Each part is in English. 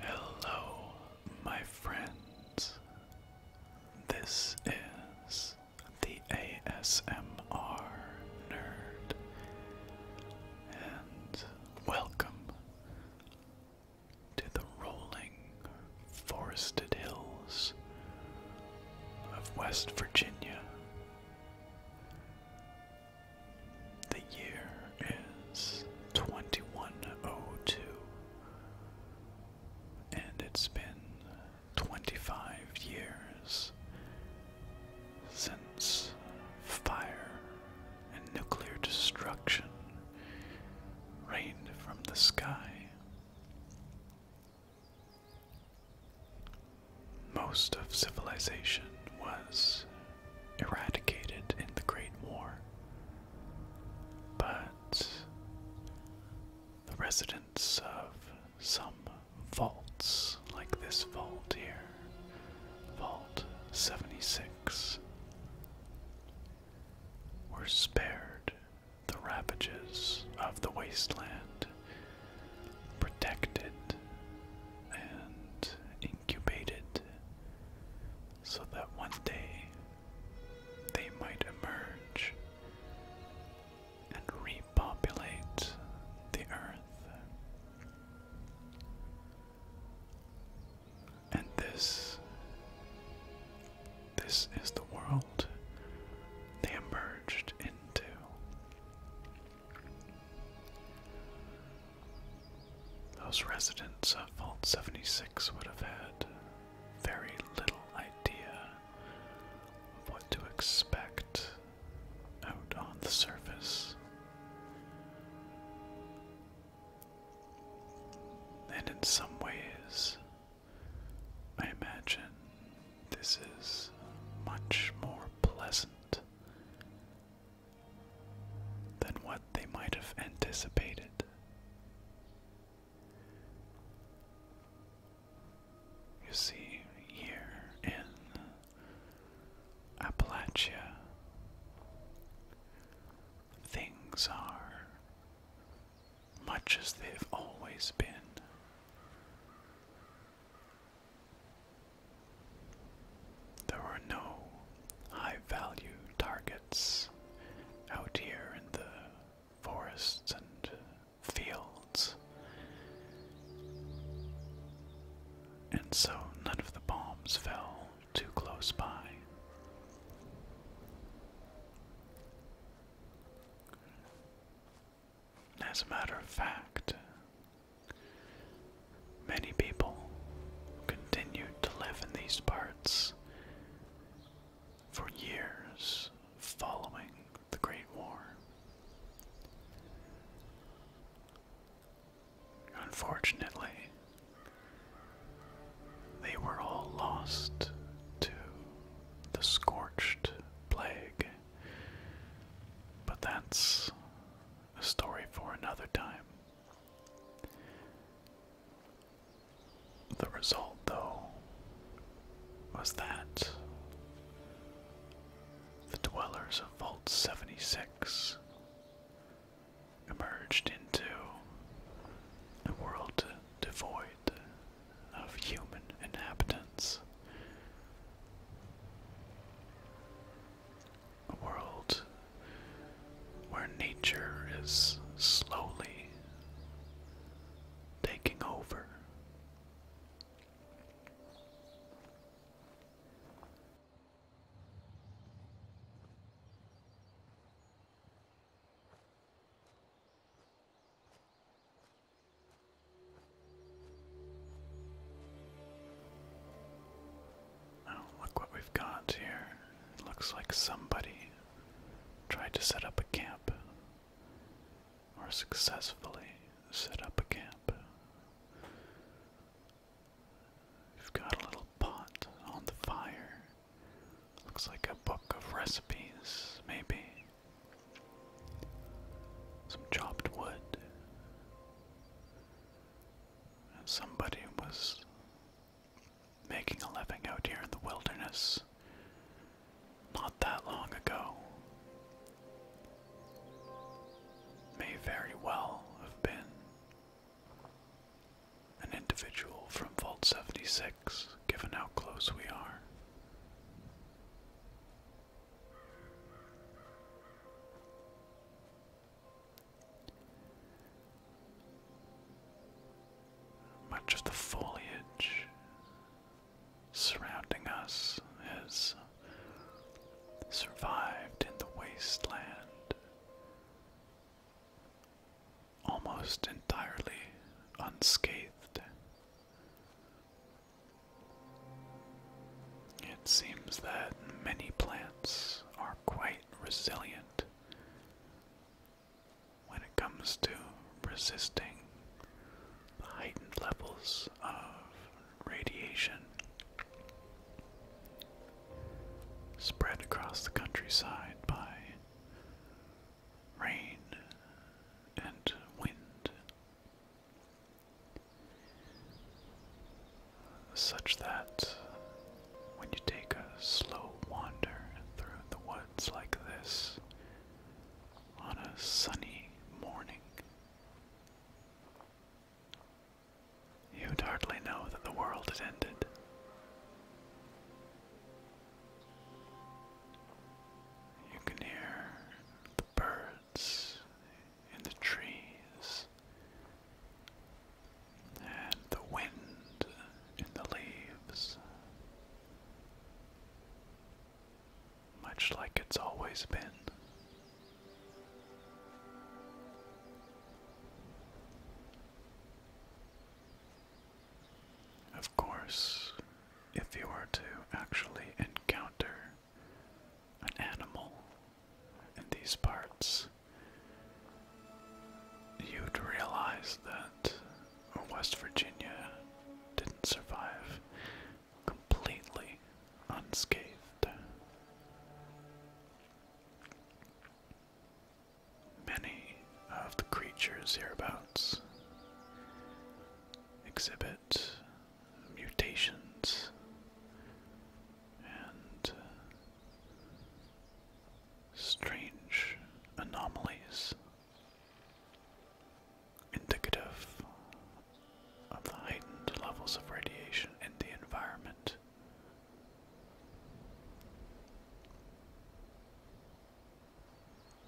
Hello, my friends. This is the ASMR Nerd and welcome to the rolling forested hills of West Virginia. The year is 2102, and it's been 25 years since fire and nuclear destruction rained from the sky. Most of civilization was eradicated in the Great War, but the residents of Samba vaults like this vault here. Vault 76 were spared the ravages of the wasteland, protected and incubated so that one day they might emerge and reap repopulate the earth. And this this is the world they emerged into. Those residents of Vault 76 would have had very little idea of what to expect out on the surface. And in some ways, I imagine this is much more pleasant than what they might have anticipated. You see, here in Appalachia. Things are much as they've always been. There are no high value targets out here in the forests and fields. And so none of the bombs fell too close by. As a matter of fact, many people continued to live in these parts for years following the Great War. Unfortunately, they were all lost to the scorched plague. But that's a story for another time. The result, though, was that the dwellers of Vault 76 emerged into a world devoid of human inhabitants, a world where nature is slowly taking over. Oh, look what we've got here. It looks like somebody tried to set up a camp or successfully set up a camp. We've got a little pot on the fire. Looks like a book of recipes, maybe. Some chopped wood. somebody was making a living out here in the wilderness not that long ago may very well have been an individual from Vault 76, given how close we are. Much of the foliage surrounding us has survived in the wasteland almost entirely unscathed. It seems that many plants are quite resilient when it comes to resisting the heightened levels of radiation spread across the countryside by rain and wind, such that when you take a slow wander through the woods like this, on a sunny morning. You'd hardly know that the world had ended. You can hear the birds in the trees and the wind in the leaves much like it's always been. Of course, if you were to actually encounter an animal in these parts, you'd realize that West Virginia didn't survive completely unscathed. Many of the creatures hereabouts exhibit mutations and strange anomalies indicative of the heightened levels of radiation in the environment.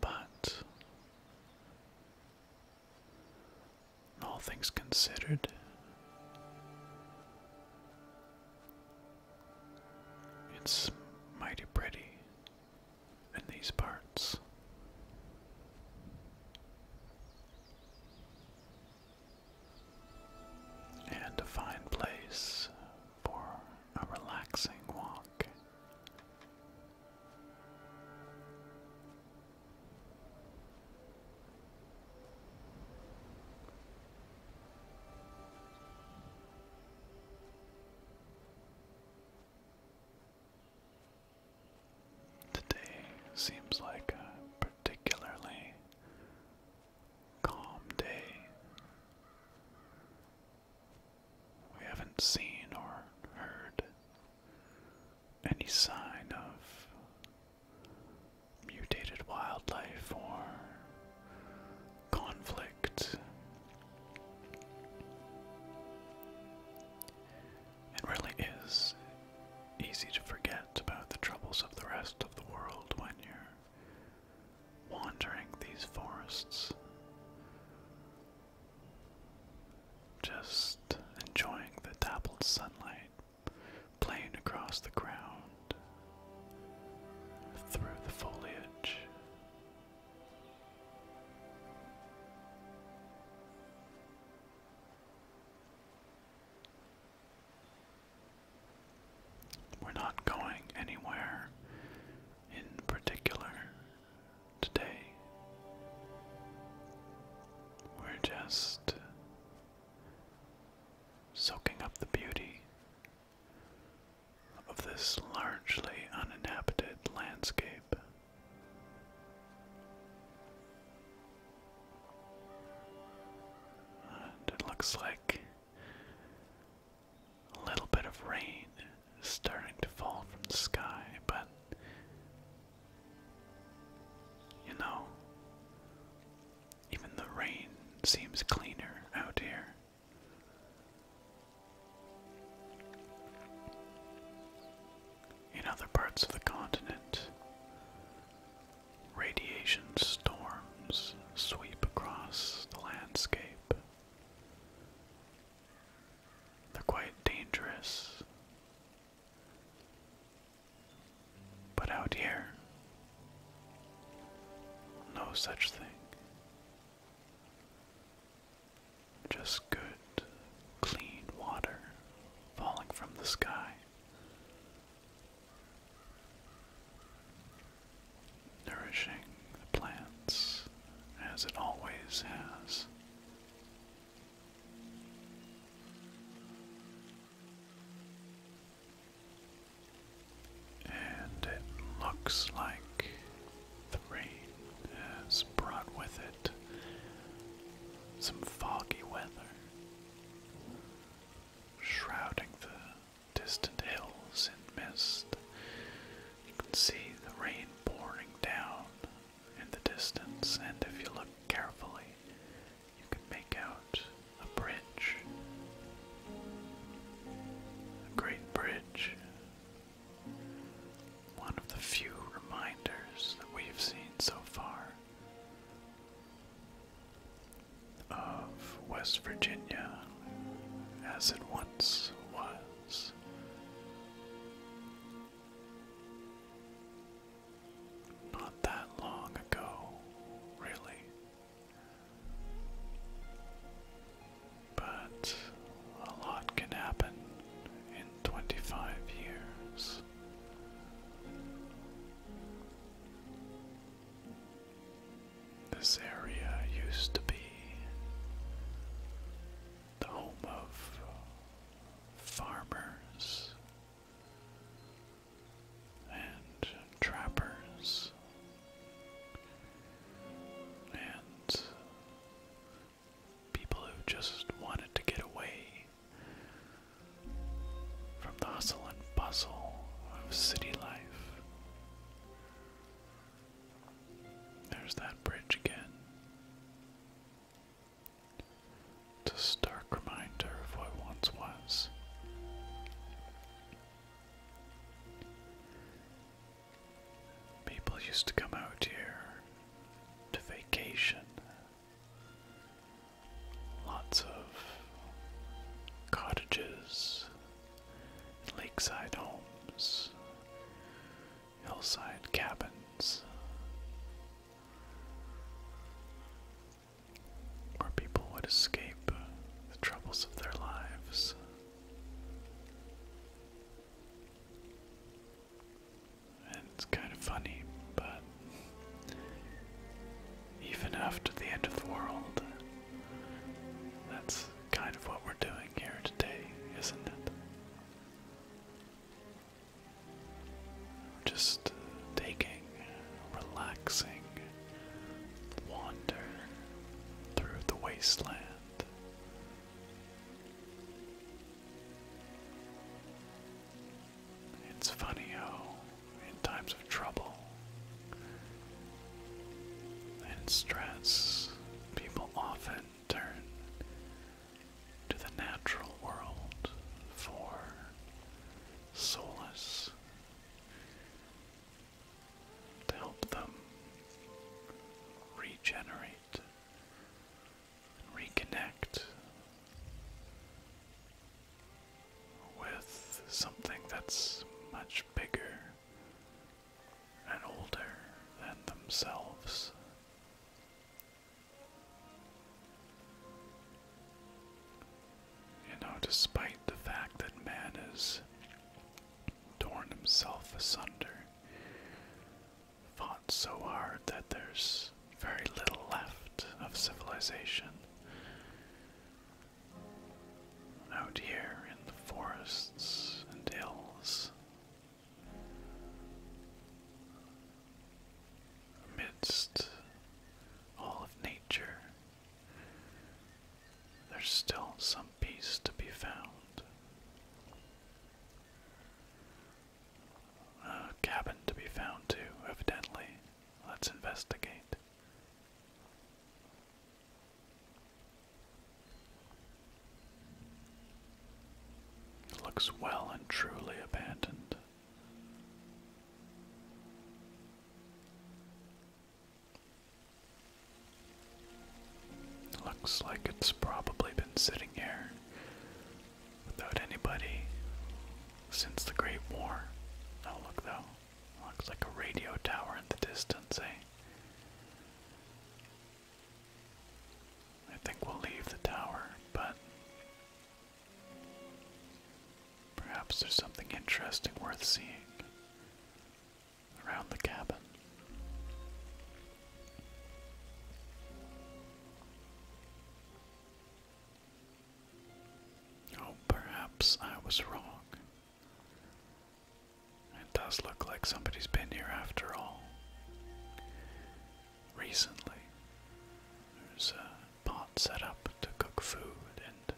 But, all things considered, it's mighty pretty in these parts. And a fine place for a relaxing walk. Today seems like a particularly calm day. We haven't seen or heard any sign of mutated wildlife or conflict it really is easy to forget about the troubles of the rest of the world when you're wandering these forests, just enjoying the dappled sunlight playing across the ground through the foliage. We're not going anywhere in particular today. We're just soaking up the beauty of this largely uninhabited landscape. And it looks like a little bit of rain starting to fall from the sky, but you know, even the rain seems cleaner out here. In other parts of the continent, radiation storms sweep across the landscape. They're quite dangerous. But out here, no such thing. Just good, clean water falling from the sky. Nourishing the plants as it always has. And it looks like the rain has brought with it some foggy weather, shrouding the distant hills in mist. You can see the rain pouring down in the distance, and if you look carefully, you can make out a bridge. A great bridge one of the few reminders that we've seen so far of West Virginia as it once was. Not that long ago, really. But a lot can happen in 25 years. This area used to be the home of farmers and trappers and people who just wanted to get away from the hustle and bustle of city life. There's that bridge again. It's a stark reminder of what once was. People used to come out here to vacation. Lots of cottages, lakeside homes, hillside cabins, where people would escape the troubles of their lives. And it's kind of funny, but even after the end of the world, that's kind of what we're doing here today, isn't it? just uh, taking, relaxing, wander through the wasteland. It's funny how, in times of trouble and stress, people often turn to the natural world for solace to help them regenerate and reconnect with something that's much bigger and older than themselves. You know, despite the fact that man is torn himself asunder, fought so hard that there's very little left of civilization. Out here in the forests and hills, amidst all of nature, there's still some peace to be found. A cabin to be found too, evidently. Let's investigate. It looks well and truly abandoned. Looks like it's probably been sitting here without anybody since the Great War. Oh, look though. Looks like a radio tower in the distance, eh? I think we'll leave the tower, but perhaps there's something interesting worth seeing around the cabin. Oh, perhaps I was wrong. It does look like somebody's been here after all. Recently, there's a pot set up to cook food, and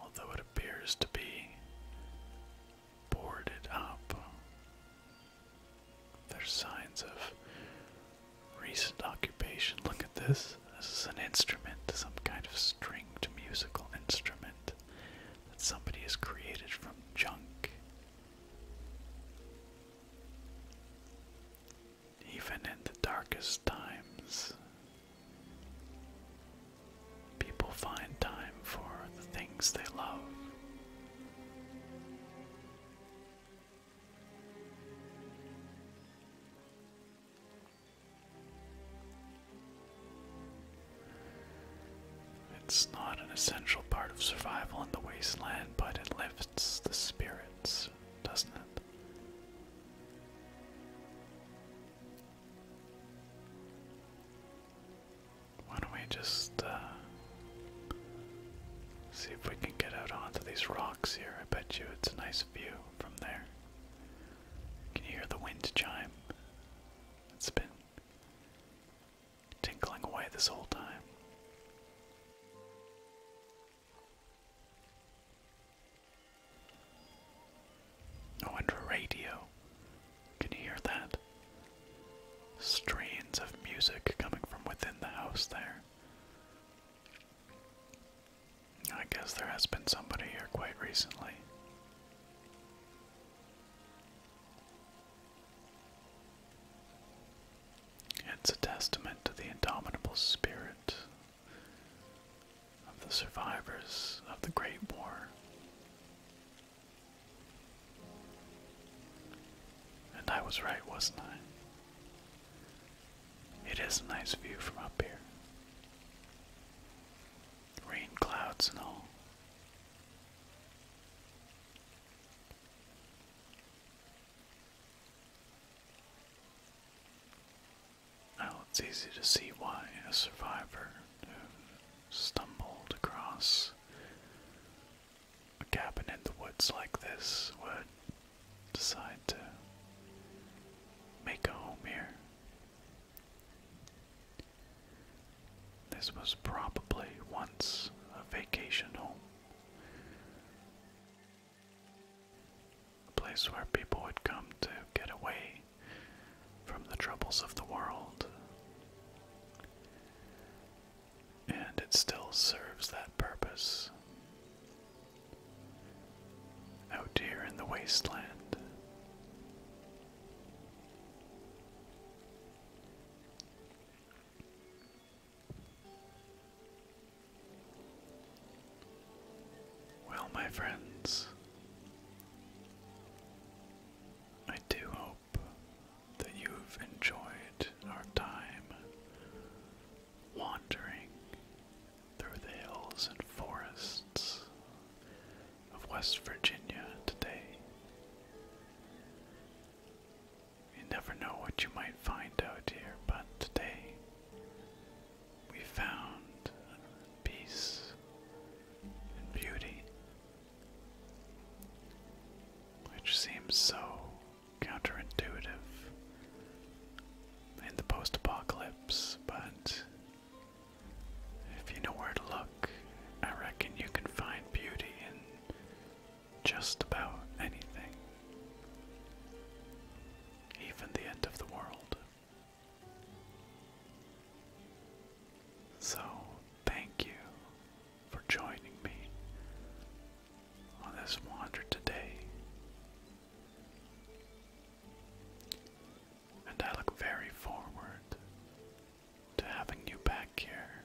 although it appears to be boarded up. There's signs of recent occupation. Look at this. This is an instrument, some kind of stringed musical instrument that somebody has created from junk. Even in the darkest times, people find time for the things they love. It's not an essential part of survival in the wasteland, but it lifts the spirits, doesn't it? Why don't we just uh, see if we can get out onto these rocks here? I bet you it's a nice view from there. Can you hear the wind chime? It's been tinkling away this whole time. Oh, and radio. Can you hear that? Strains of music coming from within the house there. I guess there has been somebody here quite recently. It's a testament to the indomitable spirit of the survivors of the Great War. And I was right, wasn't I? It is a nice view from up here. Rain clouds and all. Now it's easy to see why a survivor who stumbled across a cabin in the woods like this would decide to make a home here. This was probably once a vacation home a place where people would come to get away from the troubles of the world. And it still serves that purpose. Out here in the wasteland. Well, my friends, I do hope that you've enjoyed our time wandering through the hills and forests of West Virginia today. You never know what you might find out here, but today we found peace and beauty, which seems so counterintuitive in the post apocalypse, but if you know where to look, I reckon you can find beauty in just about anything, even the end of the world. So, thank you for joining me on this wander today. And I look very forward to having you back here